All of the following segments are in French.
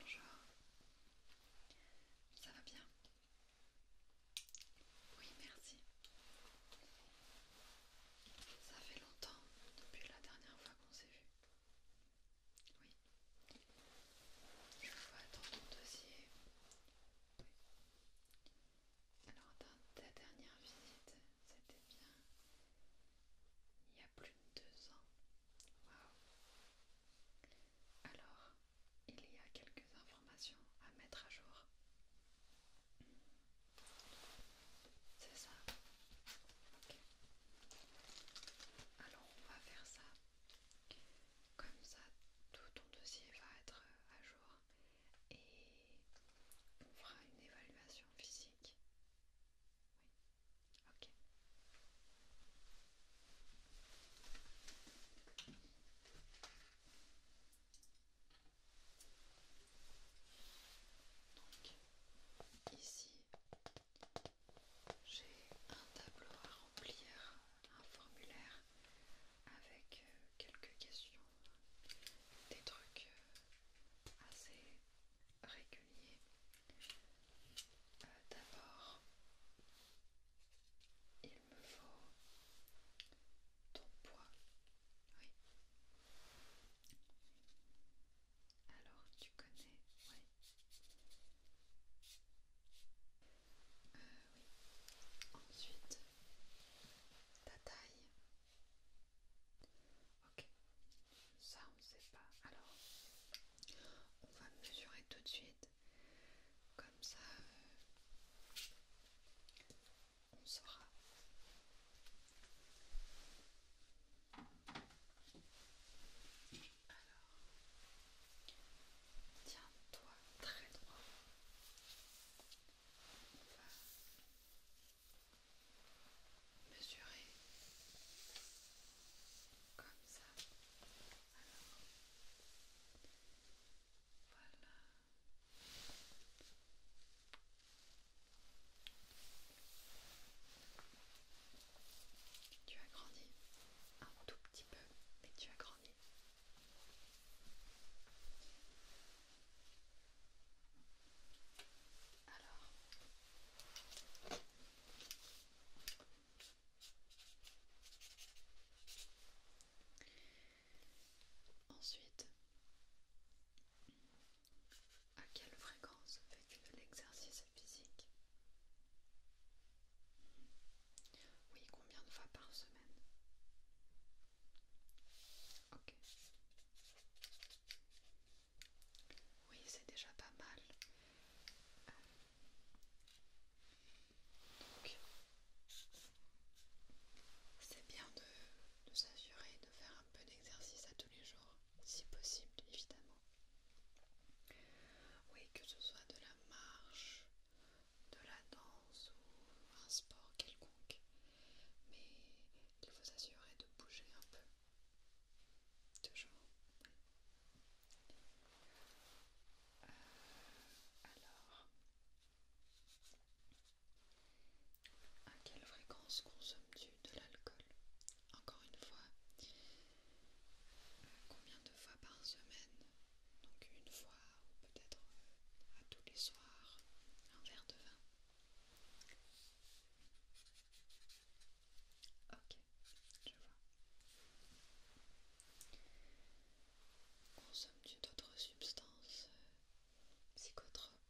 Bonjour, ça va bien Oui, merci. Ça fait longtemps depuis la dernière fois qu'on s'est vu. Oui. Je vois dans ton dossier. Alors, dans ta dernière visite, c'était bien il y a plus de deux ans. Waouh Alors, il y a quelques informations à mettre à jour. C'est ça Ok. Alors, on va faire ça. Comme ça, tout ton dossier va être euh, à jour et on fera une évaluation physique Ok. Donc ici j'ai un tableau à remplir, un formulaire avec euh, quelques questions, des trucs euh, assez régulier. Euh, d'abord, il me faut ton poids. Oui. Alors tu connais, euh, oui. Ensuite, ta taille. Ok, ça on ne sait pas. Alors, on va mesurer tout de suite. Comme ça, euh, on saura. Alors, tiens-toi très droit mesurer comme ça. voilà. Tu as grandi un tout petit peu, mais tu as grandi. Alors. Ensuite, à quelle fréquence fait l'exercice physique Oui, combien de fois par semaine oui, c'est déjà pas mal. Euh, donc, c'est bien de, de s'assurer de faire un peu d'exercice à tous les jours, si possible, évidemment. Oui, que ce soit de la marche, de la danse ou un sport quelconque, mais il faut s'assurer de bouger un peu. Toujours. Euh, alors, à quelle fréquence consommes-tu de l'alcool Encore une fois, euh, combien de fois par semaine Donc une fois ou peut-être euh, à tous les soirs, un verre de vin. Ok, je vois. Consommes-tu d'autres substances euh, psychotropes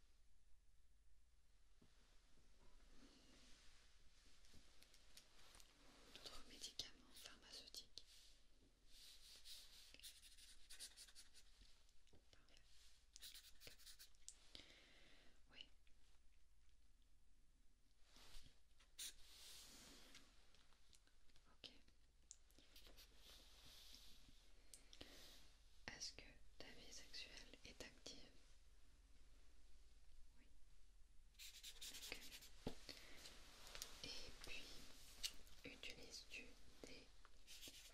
D'autres médicaments pharmaceutiques oui. Est-ce que ta vie sexuelle est active Oui. Et puis, utilises-tu des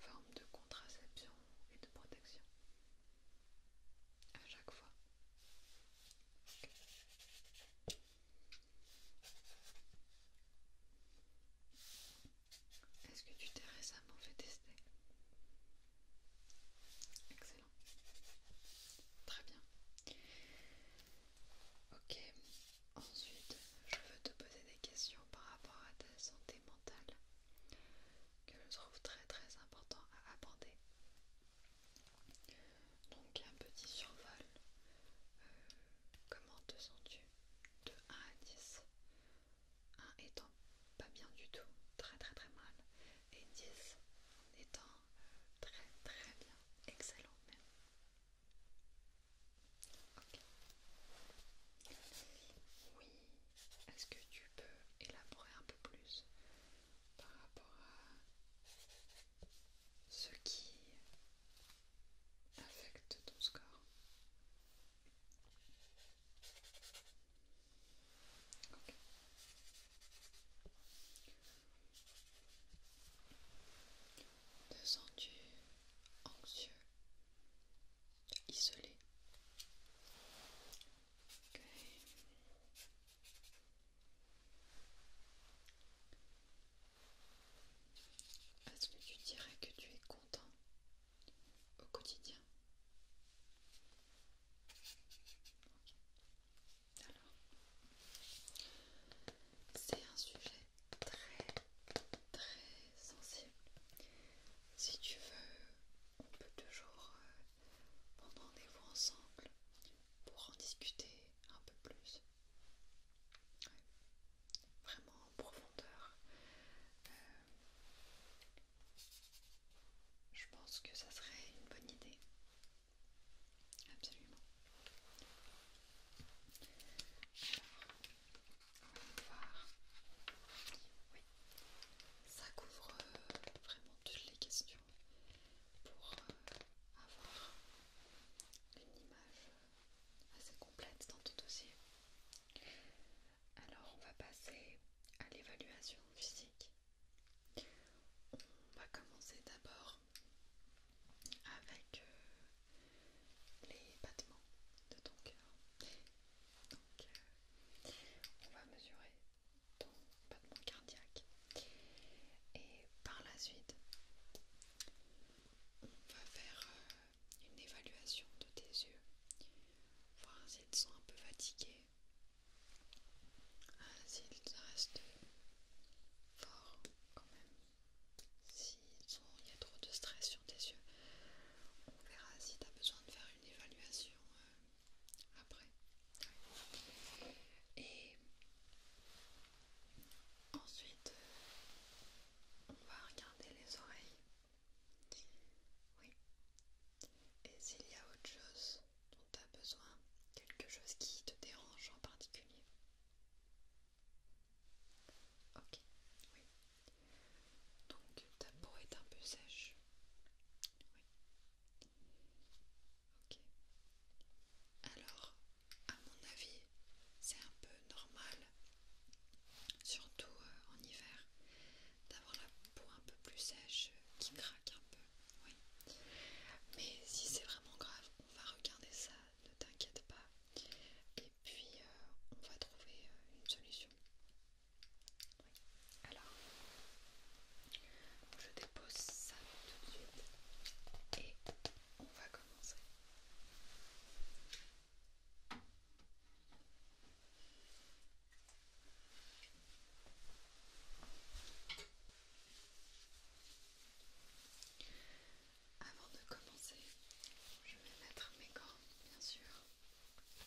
formes de contraception et de protection à chaque fois. Est-ce que tu t'es récemment fait tester Excellent. Très bien. Ok. Ensuite, je veux te poser des questions par rapport à ta santé mentale que je trouve très très important à aborder. Donc un petit survol. Euh, comment te sens-tu De 1 à 10. 1 étant pas bien du tout, très très très mal. Et 10 étant euh, très très bien, excellent même. Ok. Oui, est-ce que tu peux élaborer un peu plus par rapport à ce qui affecte ton score. Te sens-tu anxieux, isolé, est-ce que tu dirais que tu es content au quotidien c'est un sujet très très sensible. Si tu veux, on peut toujours euh, pendant rendez-vous ensemble pour en discuter un peu plus. Vraiment en profondeur. Euh, je pense que ça serait une bonne idée. Absolument. Alors, on va voir. Oui, ça couvre euh, vraiment toutes les questions pour euh, avoir une image euh, assez complète dans ton dossier. Alors on va passer à l'évaluation physique. On va commencer d'abord avec les battements de ton cœur. Donc on va mesurer ton battement cardiaque. Et par la suite, on va faire euh, une évaluation de tes yeux, voir s'ils sont un peu fatigués, euh, s'ils restent forts quand même, s'il y a trop de stress sur tes yeux. On verra si tu as besoin de faire une évaluation euh, après. Et ensuite, euh, on va regarder les oreilles. Oui. Et s'il y a autre chose dont tu as besoin, quelque chose qui te dérange en particulier. Ok, oui. Donc ta peau est un peu sèche. Oui. Ok. Alors, à mon avis, c'est un peu normal, surtout euh, en hiver, d'avoir la peau un peu plus sèche euh, qui craque un peu. Mais si c'est vraiment grave, on va regarder ça, ne t'inquiète pas. Et puis, euh, on va trouver une solution. Alors, je dépose ça tout de suite et on va commencer. Avant de commencer, je vais mettre mes gants, bien sûr.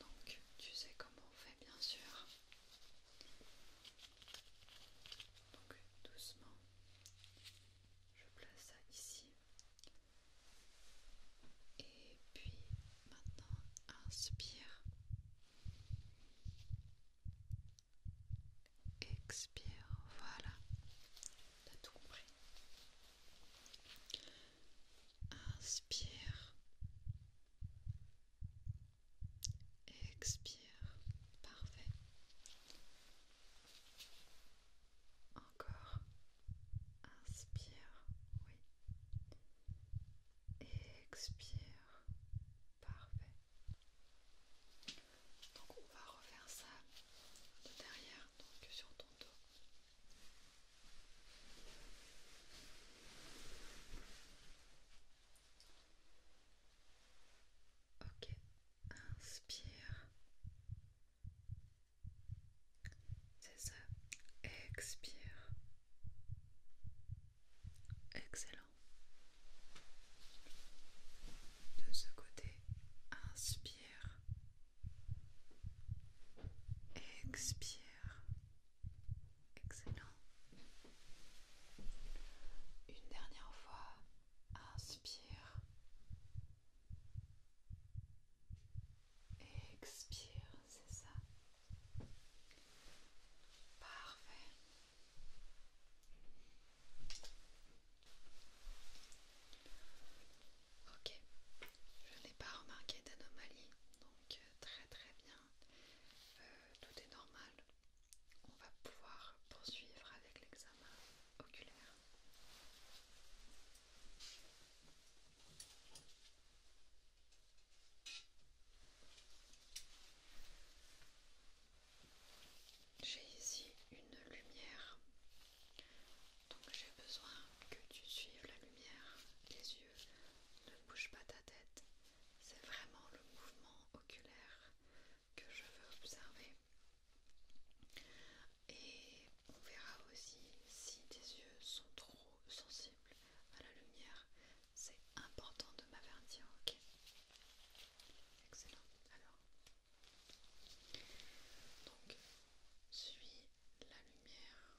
Donc tu sais comment on fait bien sûr. Donc doucement, je place ça ici. Et puis maintenant, inspire. Expire, voilà. T'as tout compris. Inspire. Expire. Parfait. Encore. Inspire. Oui. Expire. Parfait. Donc on va refaire ça de derrière, donc sur ton dos. Ok, inspire. C'est ça. Expire. Excellent. De ce côté, inspire. Expire. Excellent. Une dernière fois. Inspire. Expire, c'est ça. Parfait. Ok, je n'ai pas remarqué d'anomalie, donc euh, très très bien, euh, tout est normal. On va pouvoir poursuivre avec l'examen oculaire. J'ai ici une lumière donc j'ai besoin que tu suives la lumière, les yeux, ne bouge pas ta tête. C'est vraiment le mouvement oculaire que je veux observer. Et on verra aussi si tes yeux sont trop sensibles à la lumière. C'est important de m'avertir, ok Excellent. Alors, donc, suis la lumière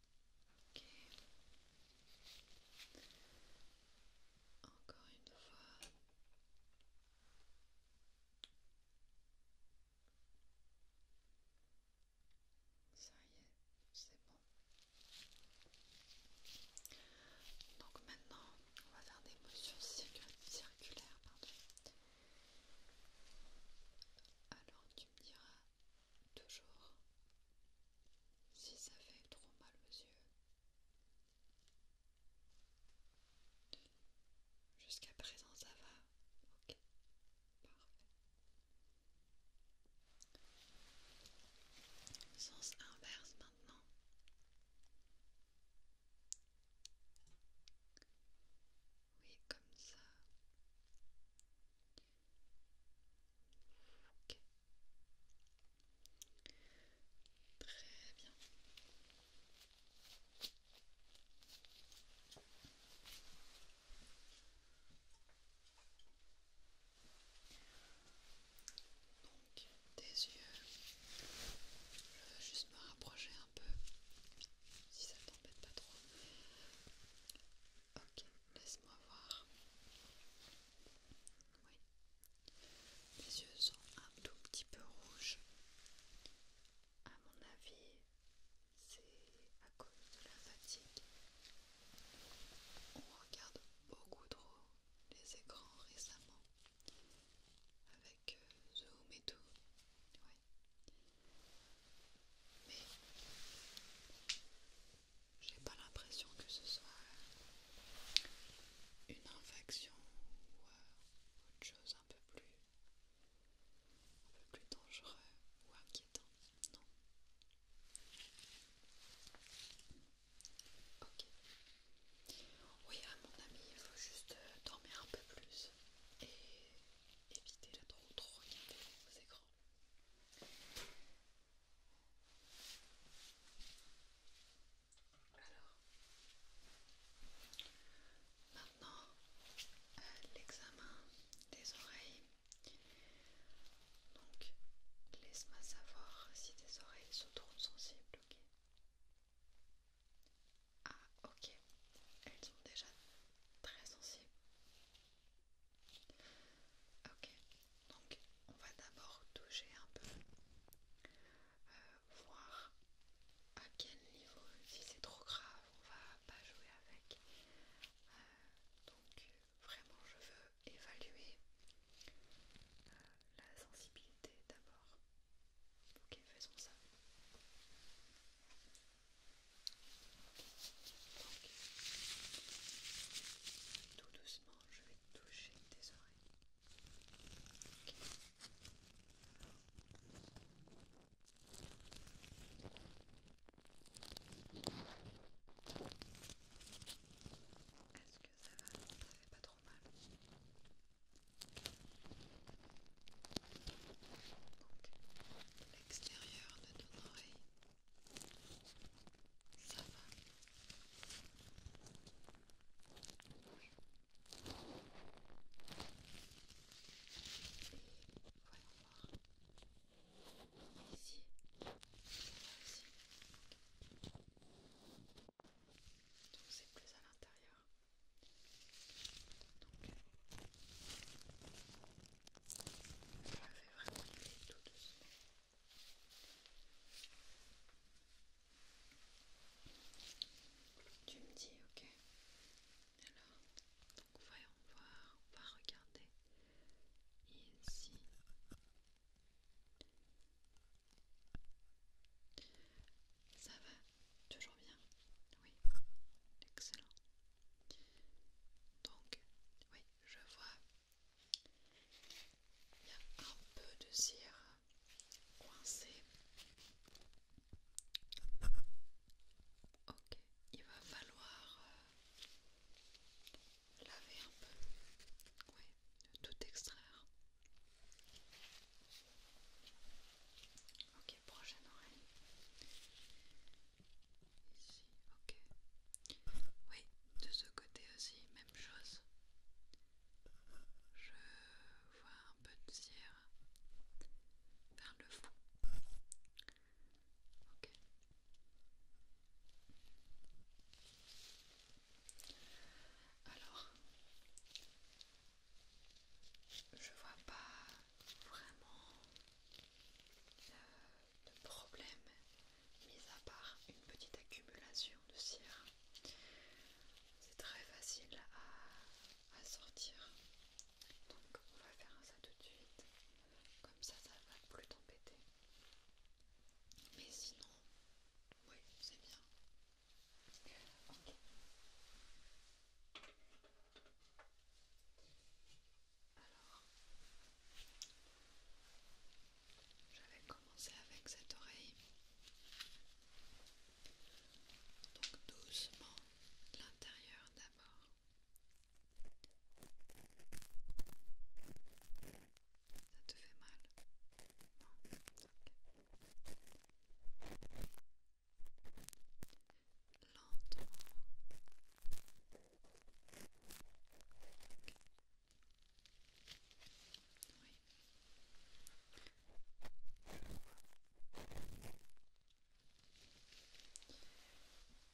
Ok. Encore une fois. Ça y est, c'est bon. Donc maintenant, on va faire des motions circulaires. Alors tu me diras Toujours. Si ça fait trop mal aux yeux. Jusqu'à présent ça va. Ok. Parfait. Sens inverse maintenant. Oui, comme ça. Très bien. Donc tes yeux, je veux juste me rapprocher un peu si ça t'embête pas trop. Ok. Laisse-moi voir. Oui. Mes yeux sont un tout petit peu rouges. À mon avis, c'est à cause de la fatigue. On regarde beaucoup trop les écrans récemment. Avec euh, Zoom et tout. oui Mais j'ai pas l'impression que ce soit une infection ou euh, autre chose un peu plus, un peu plus dangereux ou inquiétant. Non. Ok. Oui, mon ami, il faut juste euh, dormir un peu plus et éviter de trop, trop regarder vos écrans. Alors, maintenant, euh, l'examen des oreilles. Donc, laisse-moi savoir si tes oreilles se trouvent sensibles, ok Ah, ok, elles sont déjà très sensibles. Ok, donc on va d'abord toucher un peu, euh, voir à quel niveau, si c'est trop grave, on va pas jouer avec. Euh, donc vraiment je veux évaluer euh, la sensibilité d'abord. Ok, faisons ça. Donc, tout doucement je vais toucher tes oreilles. Est-ce que ça va Ça fait pas trop mal. l'extérieur de ton oreille. Ça va oui. Voyons voir. Ici. Là aussi. Donc c'est plus à l'intérieur. Donc on la fait vraiment tout doucement. Tu me dis, ok. Alors, donc voyons voir, on va regarder ici. Ça va, toujours bien. Oui, excellent. Donc, oui, je vois il y a un peu de cire coincée. Ok, il va falloir euh, laver un peu, oui, tout extraire. Ok, prochaine oreille. Ici, ok. Oui, de ce côté aussi, même chose. Je vois un peu de cire vers le fond. Ok. Alors, je vois pas vraiment de problème, mis à part une petite accumulation de cire. C'est très facile à, sortir. Donc on va faire ça tout de suite. Comme ça, ça va plus t'embêter. Mais sinon, oui, c'est bien. Alors, je vais commencer avec cette oreille. Donc doucement l'intérieur d'abord. Ça te fait mal Lentement.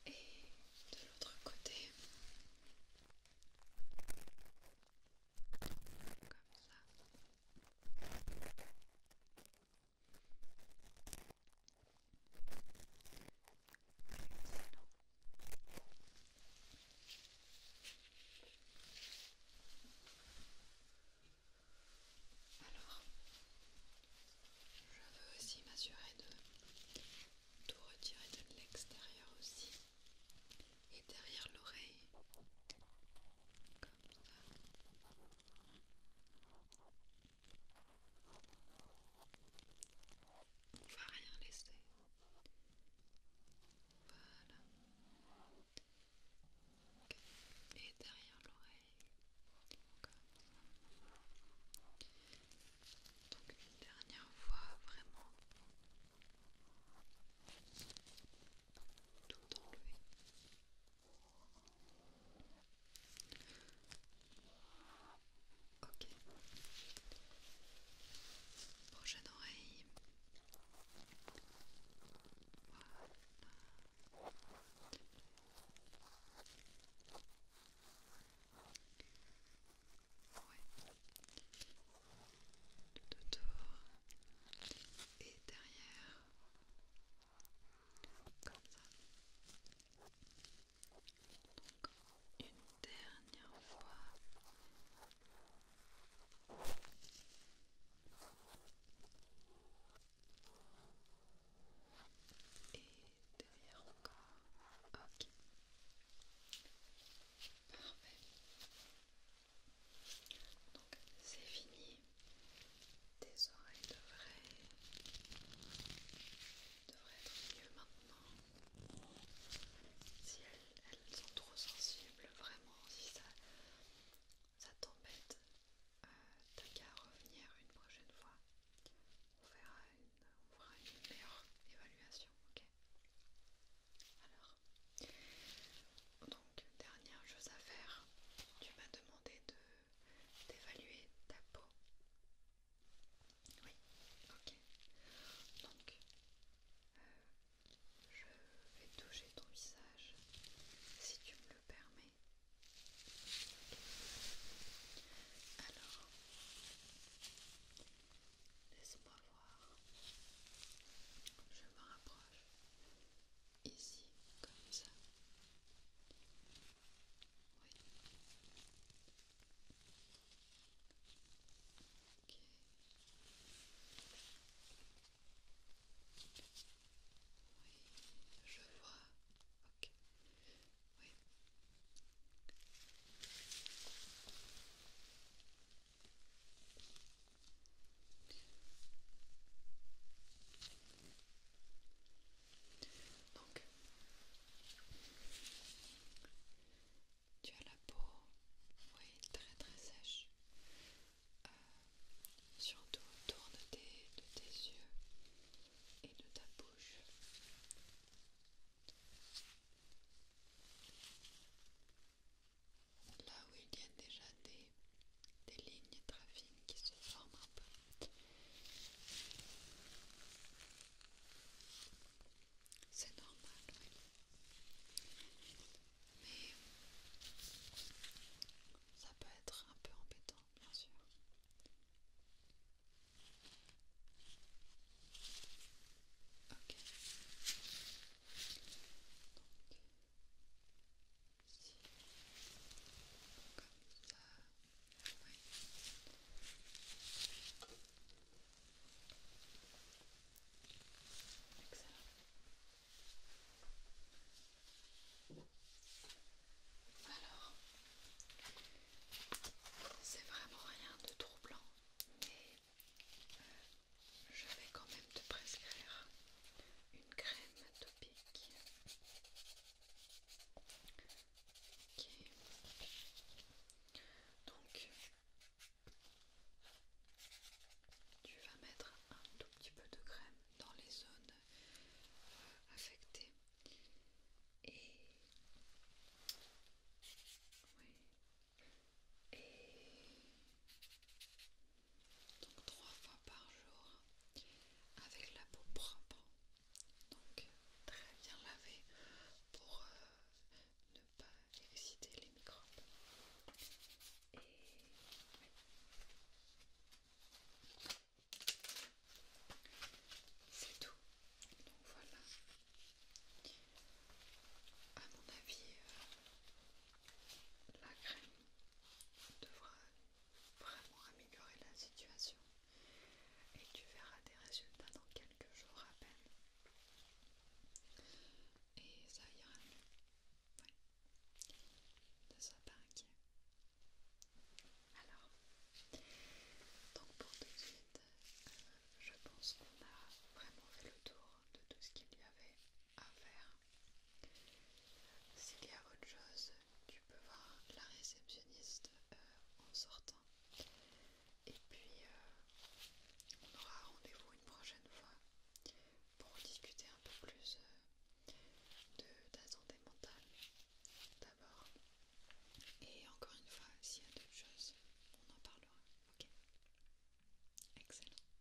Et de l'autre côté, alors, je veux aussi m'assurer de tout retirer de l'extérieur aussi et derrière l'oreille, comme ça. On va rien laisser. Voilà. Et derrière l'oreille. Donc une dernière fois, vraiment. Tout enlever. Ok. Prochaine oreille. Voilà. de Tout Et derrière. Comme ça une dernière fois. Et derrière encore. Ok. Parfait. Donc c'est fini. Tes oreilles devraient, devraient être mieux maintenant si elles, sont trop sensibles, vraiment, si ça, t'embête, euh, t'as qu'à revenir une prochaine fois. On fera une, meilleure évaluation, ok Alors, donc, dernière chose à faire, tu m'as demandé d'évaluer ta peau. Oui, ok. Donc, euh, je vais toucher ton visage si tu me le permets. Alors, laisse-moi voir. Je me rapproche ici, comme ça. Oui. Ok. Oui, je vois. Ok. Oui. Donc, tu as la peau, oui, très très sèche. Euh, surtout autour de tes, yeux et de ta bouche. Là où il y a déjà des, des lignes très fines qui se forment un peu c'est normal. Mais ça peut être un peu embêtant, bien sûr. Alors, c'est vraiment rien de troublant, mais je vais quand même te prescrire une crème topique tu vas mettre un tout petit peu de crème dans les zones euh, affectées et oui. Et donc trois fois par jour avec la peau propre, donc très bien lavé pour euh, ne pas exciter les microbes. Et C'est tout. Donc voilà. À mon avis, euh, la crème devra vraiment améliorer la situation et tu verras des résultats dans quelques jours à peine. Et ça ira mieux. ça, Ne sois pas Alors, donc pour tout de suite, euh, je pense qu'on a vraiment fait le tour de tout ce qu'il y avait à faire. S'il y a autre chose, tu peux voir la réceptionniste euh, en sortant. Et puis, euh, on aura rendez-vous une prochaine fois pour discuter un peu plus euh, de santé mentale d'abord. Et encore une fois, s'il y a d'autres choses, on en parlera. Ok Excellent.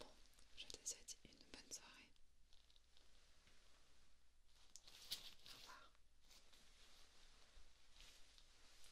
Bon, je te souhaite une bonne soirée. Au revoir.